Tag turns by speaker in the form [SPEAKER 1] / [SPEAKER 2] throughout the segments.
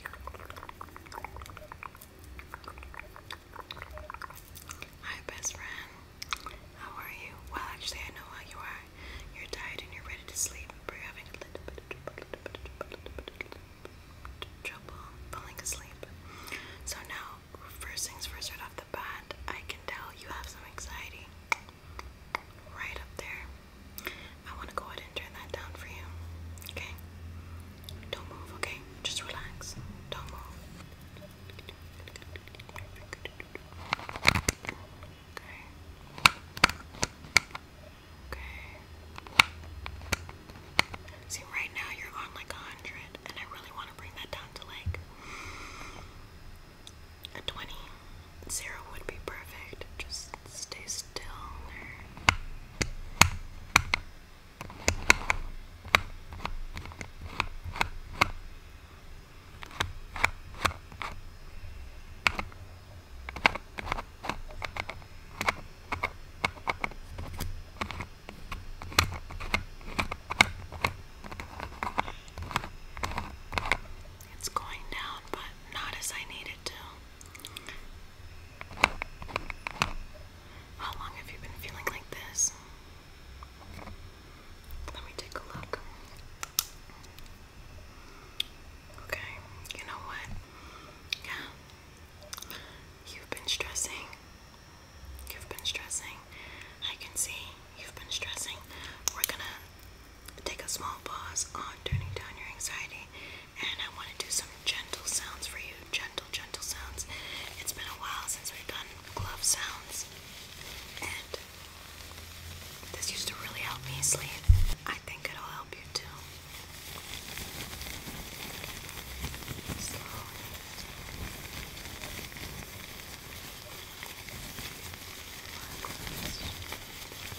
[SPEAKER 1] Hi, best friend. How are you? Well, actually, I know how you are. You're tired and you're ready to sleep, but are having a little bit of trouble falling asleep. So, now, first things first, right off the bat, I can tell you have some anxiety right up there. I want to go ahead and turn that down for you. Okay? Don't move, okay? Just relax. Don't move. Okay. Okay. See, right now you're on like a hundred, and I really want to bring that down to like a twenty. Zero would be perfect. Just stay still. It's going down, but not as I needed to. How long have you been feeling like this? Let me take a look. Okay, you know what? Yeah. You've been stressing. You've been stressing. I can see you've been stressing. We're gonna Take a small pause on turning down your anxiety, and I want to do some gentle sounds for you. Gentle, gentle sounds. It's been a while since we've done glove sounds, and this used to really help me sleep. I think it'll help you too. Slowly.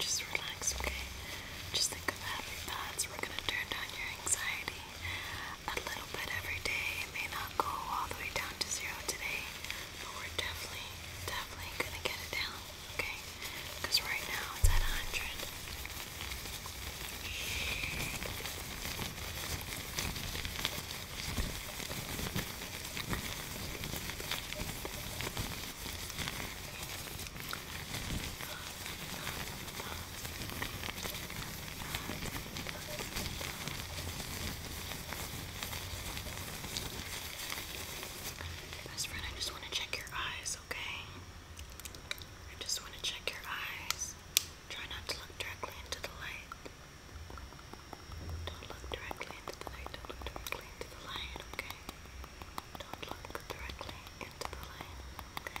[SPEAKER 1] just relax, okay? Just think of happy thoughts. We're gonna turn down your anxiety a little bit every day. It may not go all the way down to zero today, but we're definitely, definitely gonna get it down, okay? Because right now it's at 100. Best friend, I just want to check your eyes, okay? I just want to check your eyes. Try not to look directly into the light. Don't look directly into the light. Don't look directly into the light, okay? Don't look directly into the light, okay?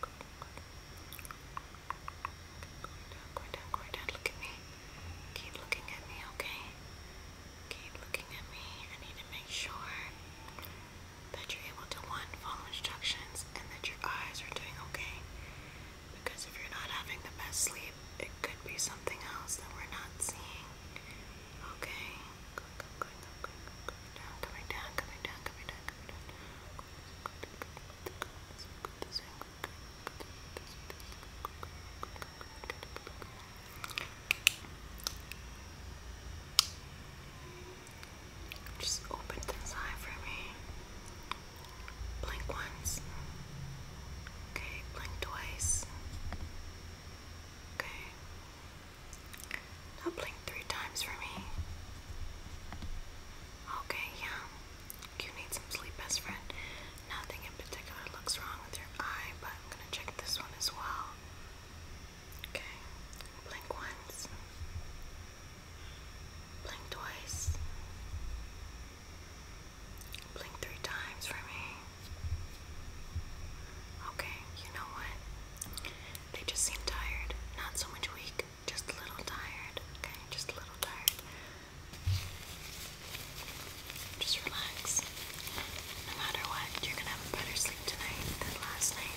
[SPEAKER 1] Going down, going down, going down. Look at me. Keep looking at me, okay? Keep looking at me. I need to make sure that you're able to one follow instructions and that your eyes are doing okay. Because if you're not having the best sleep, it could be something else that we're not seeing. Okay. Going, going, going, down, coming down, coming down, just open this eye for me. Blink once. Okay, blink twice. Okay. Now blink three times for me. Okay, yeah. You need some sleep, best friend. Nothing in particular looks wrong with your eye, but I'm gonna check this one as well. Okay, blink once, blink twice, blink three times for me. Okay, you know what? They just seem tired. Not so much weak, just a little tired. Okay, just a little tired. Just relax. No matter what, you're gonna have a better sleep tonight than last night.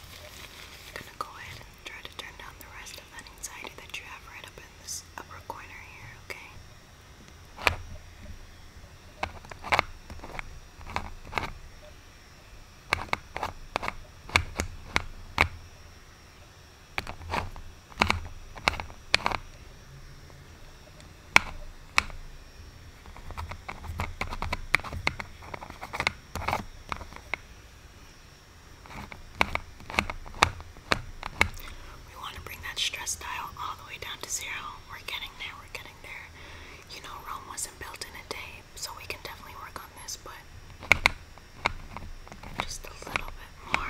[SPEAKER 1] I'm gonna go ahead and try to turn down the rest of that anxiety that you have right up in this upper corner here, okay? We want to bring that stress dial all the way down to zero. We're getting there, we're getting there. You know, Rome wasn't built in a day, so we can definitely work on this, but just a little bit more.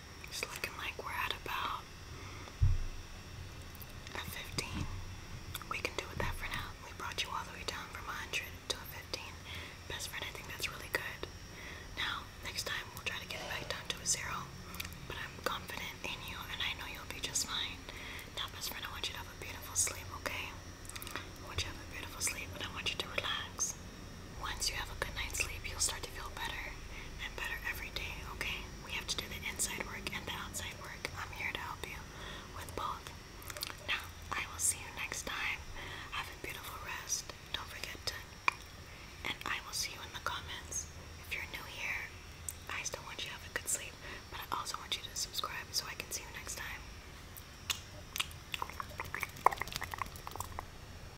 [SPEAKER 1] It's looking like we're at about a 15. We can do with that for now. We brought you all the way down from 100 to a 15. Best friend, I think that's really good. Now, next time we'll try to get it back down to a 0. But I'm confident in you and I know you'll be just fine. Now, best friend, I want you to have a beautiful sleep, okay? I want you to have a beautiful sleep and I want you to relax. Once you have a good night's sleep, you'll start to feel better and better every day, okay? We have to do the inside work and the outside work. I'm here to help you with both. Now, I will see you next time. Have a beautiful rest. Don't forget to. And I will see you in the comments. If you're new here, I still want you to have a good sleep, but I also want you to subscribe so I can see you next time.